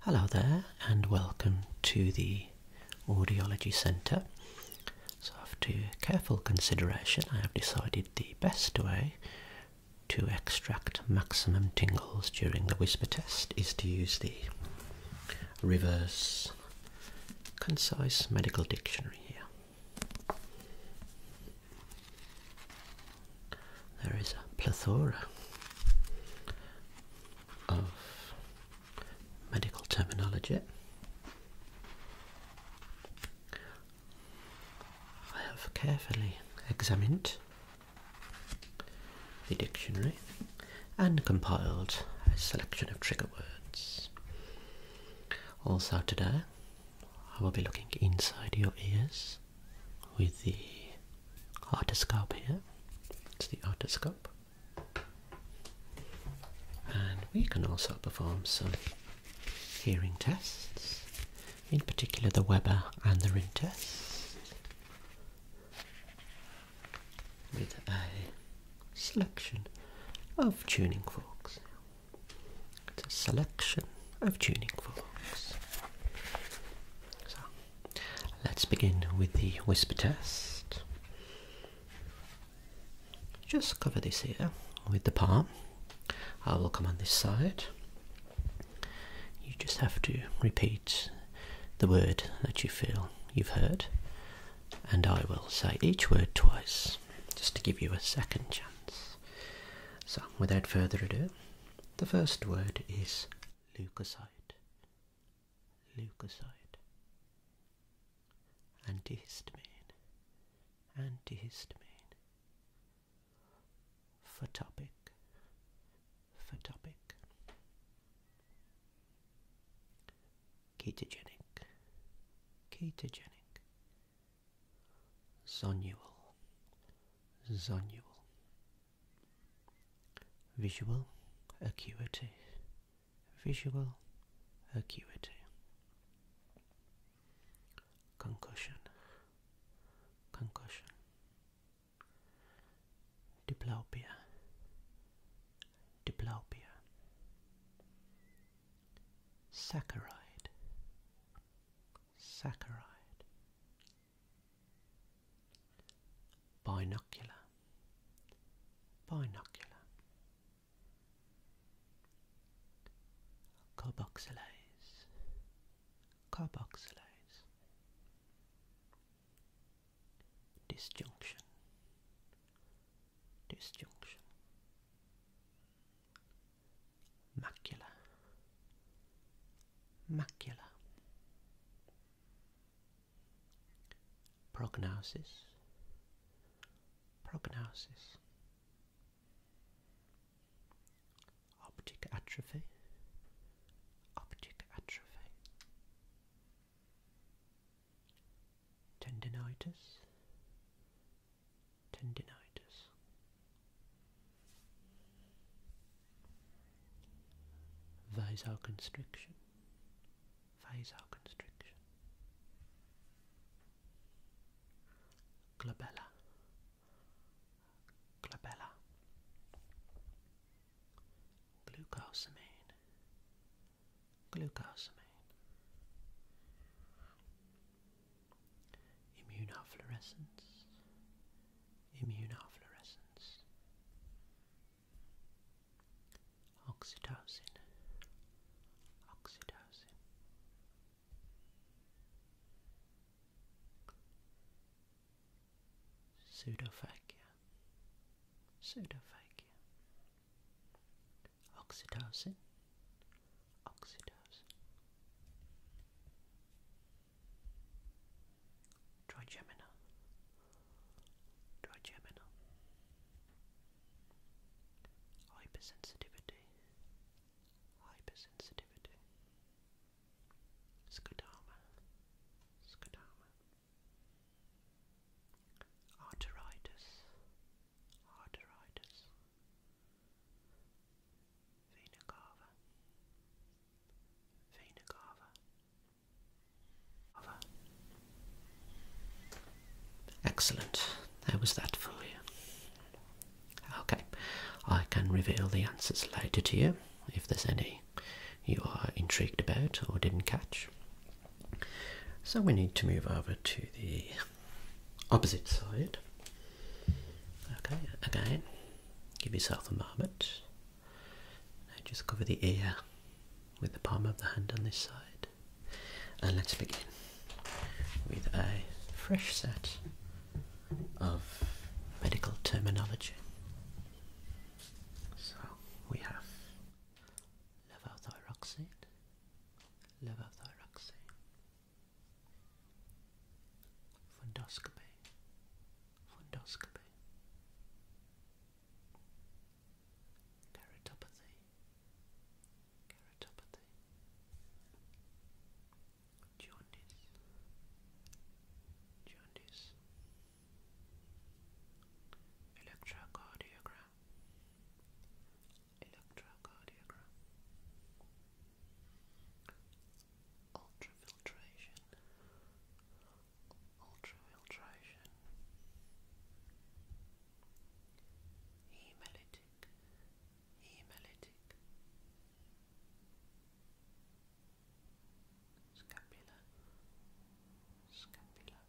Hello there and welcome to the Audiology Centre. So after careful consideration I have decided the best way to extract maximum tingles during the whisper test is to use the reverse concise medical dictionary here there is a plethora of medical terminology. I have carefully examined the dictionary and compiled a selection of trigger words. Also, today I will be looking inside your ears with the otoscope here. It's the otoscope. And we can also perform some hearing tests, in particular the Weber and the Rin test, with a selection of tuning forks. It's a selection of tuning forks. So Let's begin with the whisper test. Just cover this here with the palm. I will come on this side. You just have to repeat the word that you feel you've heard, and I will say each word twice just to give you a second chance. So, without further ado, the first word is leukocyte, leukocyte, antihistamine, antihistamine, photopic, photopic, ketogenic, ketogenic, zonual, zonual. Visual acuity, visual acuity. Concussion, concussion. Diplopia, diplopia. Saccharide, saccharide. Binocular, binocular. Carboxylase, carboxylase. Disjunction, disjunction. Macula, macula. Prognosis. Prognosis. Optic atrophy. Optic atrophy. Tendinitis. Tendinitis vasoconstriction, vasoconstriction, glabella, glabella, glucosamine, glucosamine, immunofluorescence, immunofluorescence. Oxytocin, oxytocin. Pseudophagia, pseudophagia. Oxytocin, oxytocin. Trigemina. Trigemina. Hypersensitivity. Hypersensitivity. Scodama. Scodama. Arteritis. Arteritis. Vena cava. Excellent. There was that for you. Okay, I can reveal the answers later to you if there's any you are intrigued about or didn't catch. So we need to move over to the opposite side. Okay, again, give yourself a moment. I just cover the ear with the palm of the hand on this side. And let's begin with a fresh set of medical terminology. So we have levothyroxine, levothyroxine, fundoscopy, fundoscopy, keratopathy, keratopathy, jaundice, jaundice, electrocardiogram, electrocardiogram, ultrafiltration, ultrafiltration, hemolytic, hemolytic, scapula, scapula,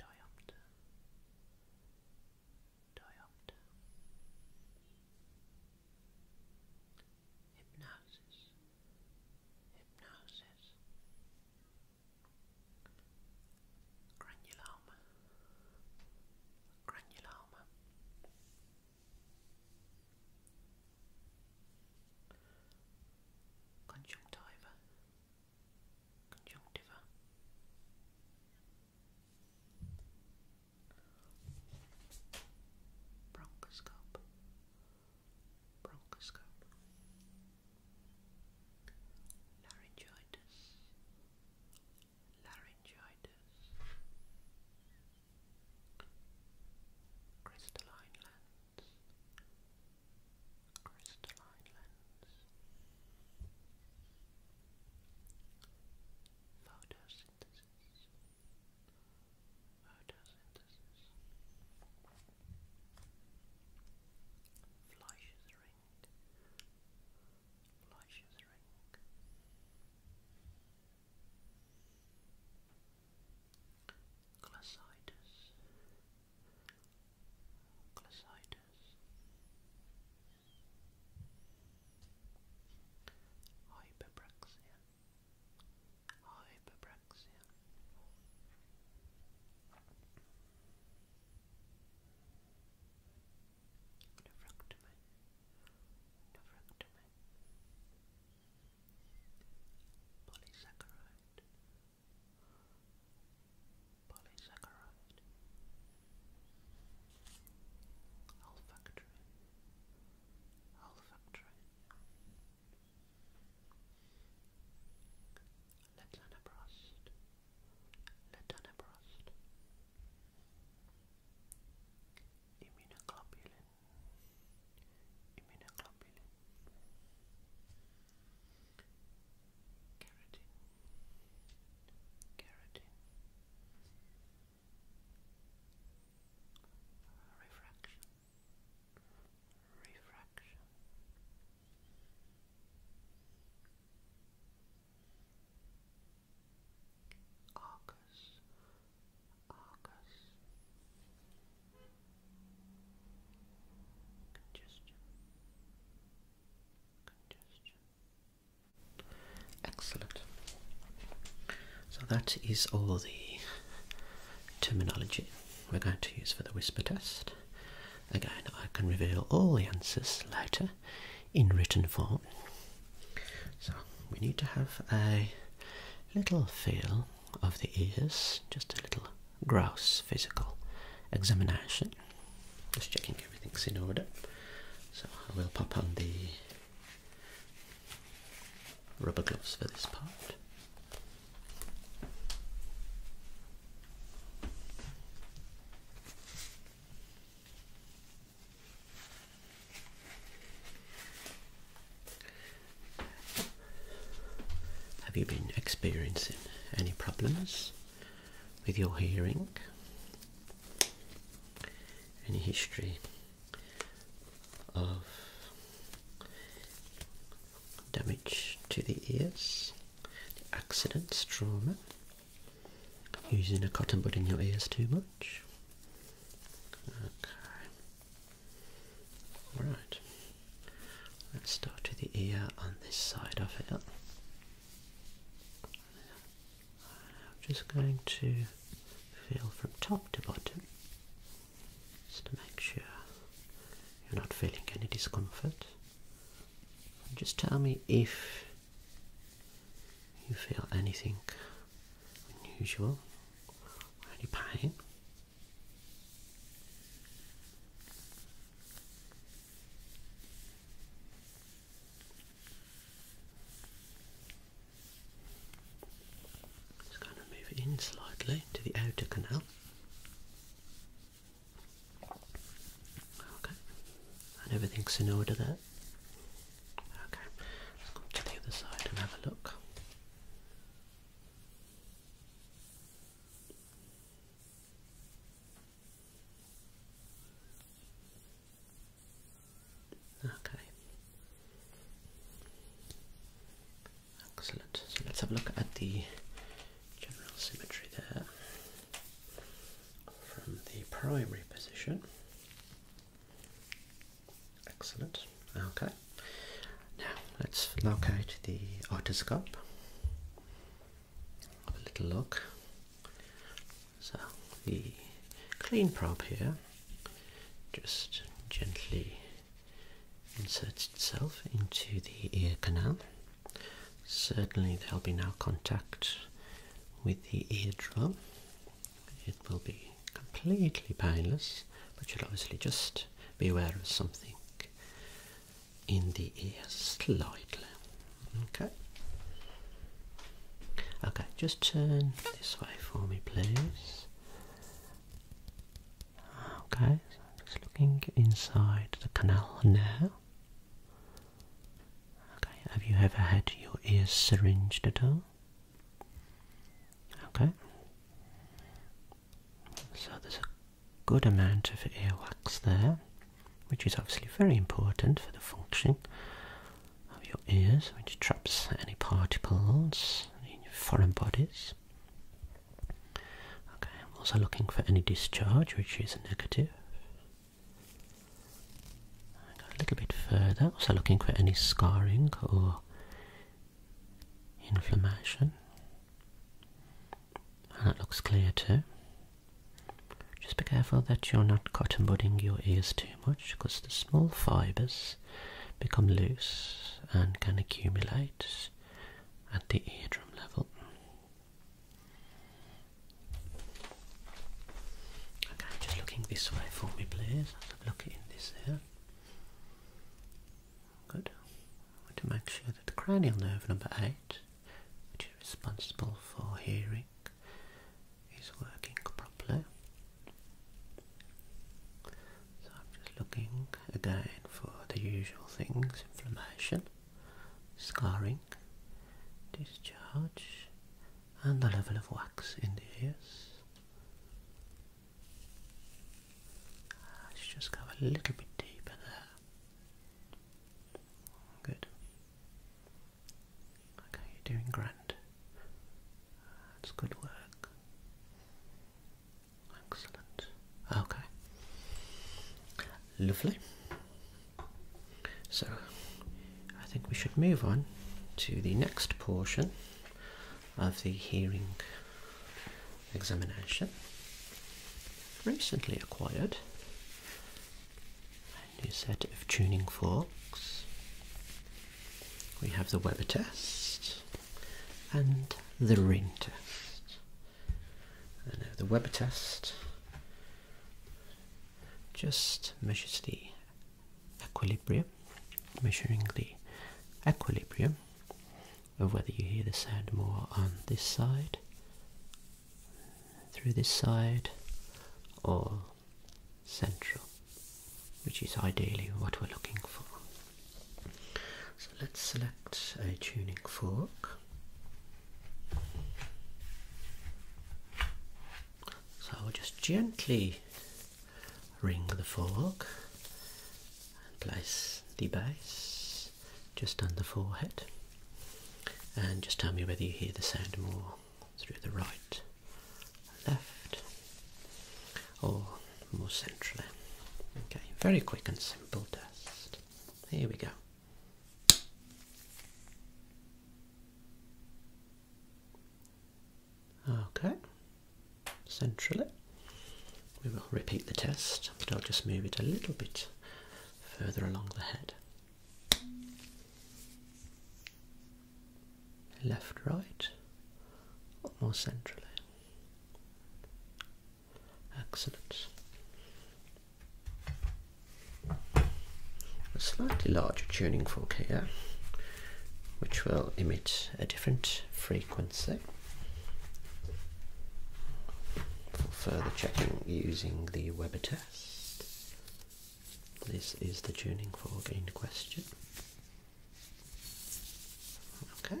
diopter, diopter hypnosis, hypnosis, granuloma, granuloma. Conjunctiva, conjunctiva, bronchoscope, bronchoscope, laryngitis, laryngitis, crystalline lens, crystalline lens. Photos, photosynthesis photosynthesis Fleisch's ring Fleisch's ring Glacitis hyperpraxia, hyperpraxia. Nephrectomy, nephrectomy, polysaccharide, polysaccharide, olfactory, olfactory, latanoprost, latanoprost, immunoglobulin, immunoglobulin, keratin. Keratin, refraction, refraction. Argus, Argus, congestion, congestion, Excellent. So that is all the terminology we're going to use for the whisper test. Again, I can reveal all the answers later in written form. So we need to have a little feel of the ears, just a little gross physical examination. Just checking everything's in order. So I will pop on the Rubber gloves for this part. Have you been experiencing any problems with your hearing? Any history of damage to the ears, accidents, trauma, using a cotton bud in your ears too much. Okay. Alright. Let's start to the ear on this side of it. I'm just going to feel from top to bottom just to make sure you're not feeling any discomfort. just tell me if you feel anything unusual or any pain. Just going to move in slightly to the outer canal. Okay, and everything's in order there. Okay, let's go to the other side and have a look. Okay. Excellent. So let's have a look at the general symmetry there from the primary position. Excellent. Okay. Now let's locate the otoscope. Have a little look. So the clean probe here just gently inserts itself into the ear canal. Certainly there'll be no contact with the eardrum. It will be completely painless, but you'll obviously just be aware of something in the ear slightly. Okay. Okay, just turn this way for me, please. Okay, I'm just looking inside the canal now. Okay, have you ever had your ears syringed at all? Okay. So there's a good amount of ear wax there, which is obviously very important for the function of your ears, which traps any particles any foreign bodies. Okay, also looking for any discharge, which is negative. a little bit further, also looking for any scarring or inflammation. And ah, it looks clear too. Just be careful that you're not cotton budding your ears too much because the small fibers become loose and can accumulate at the eardrum level. Okay, just looking this way for me, please. Let's have in this here. Good. I want to make sure that the cranial nerve number eight, which is responsible for hearing is working properly. So I'm just looking again for the usual things, inflammation, scarring, discharge and the level of wax in the ears. Let's just go a little bit deeper there. Good. Okay, you're doing grand. That's good work. Excellent. Okay. Lovely. So, I think we should move on to the next portion of the hearing examination. Recently acquired a new set of tuning forks we have the Weber test and the ring test. And the Weber test just measures the equilibrium, measuring the equilibrium of whether you hear the sound more on this side, through this side, or central, which is ideally what we're looking for. So let's select a tuning fork. So I'll just gently ring the fork and place the base just on the forehead and just tell me whether you hear the sound more through the right left, or more centrally. Okay, very quick and simple test. Here we go. Okay, centrally. We will repeat the test, but I'll just move it a little bit further along the head left, right, or more centrally. Excellent. A slightly larger tuning fork here, which will emit a different frequency for further checking using the Weber test. This is the tuning fork in question. Okay.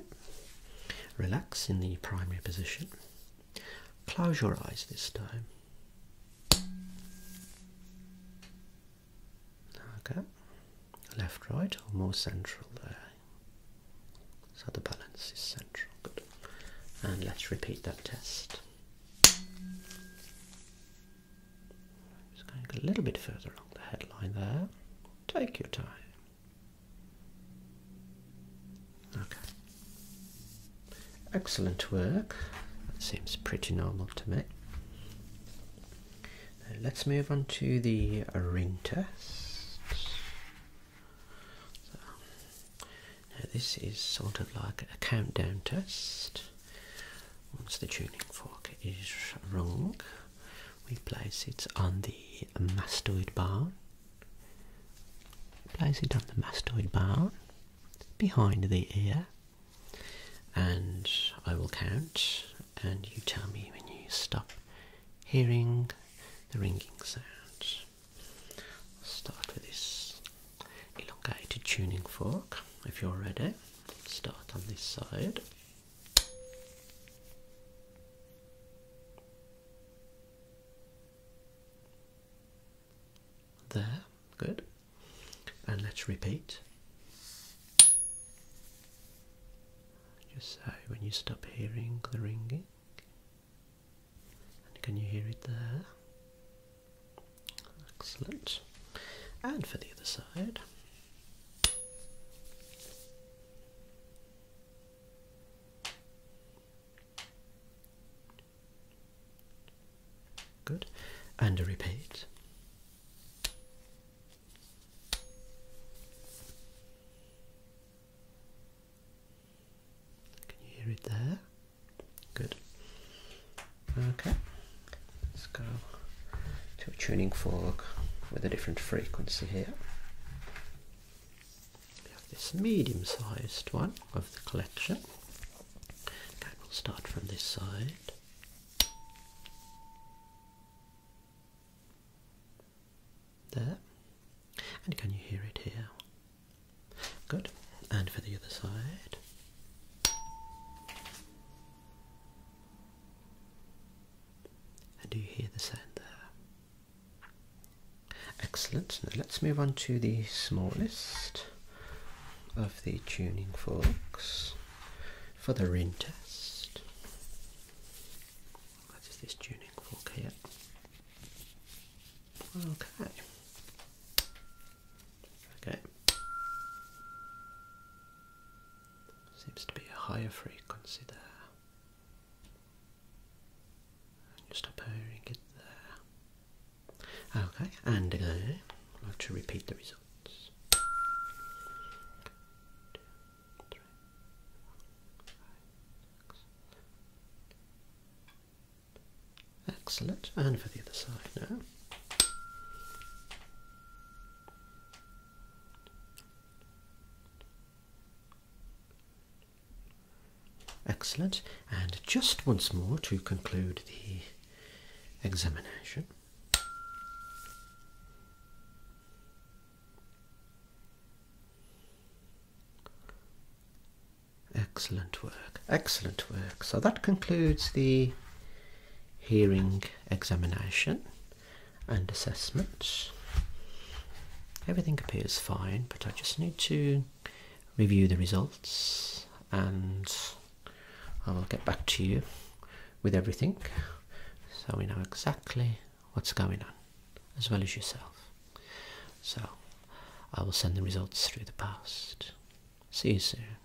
Relax in the primary position. Close your eyes this time. Okay. Left, right, or more central there. So the balance is central. Good. And let's repeat that test. Just going a little bit further along the headline there. Take your time. Okay. Excellent work. That seems pretty normal to me. let's move on to the ring test. now this is sort of like a countdown test. Once the tuning fork is rung, we place it on the mastoid bone. Place it on the mastoid bone behind the ear, and I will count, and you tell me when you stop hearing the ringing sound. start with this elongated tuning fork if you're ready. Start on this side. There, good. And let's repeat. Just say when you stop hearing the ringing, and can you hear it there? Excellent. And for the other side. Good. And a repeat. Can you hear it there? Good. Okay, let's go to a tuning fork with a different frequency here. We have this medium sized one of the collection. Okay, we'll start from this side. There, and can you hear it here? Good, and for the other side. And do you hear the sound there? Excellent. Now let's move on to the smallest of the tuning forks for the ring test. That is this tuning fork here. Okay. Okay. Seems to be a higher frequency there. And just appearing it there. Okay, and again, I'd like to repeat the results. Excellent, and for the other side now. Excellent. And just once more to conclude the examination. Excellent work, excellent work. So that concludes the hearing examination and assessment. Everything appears fine, but I just need to review the results and I will get back to you with everything so we know exactly what's going on as well as yourself. So I will send the results through the post. See you soon.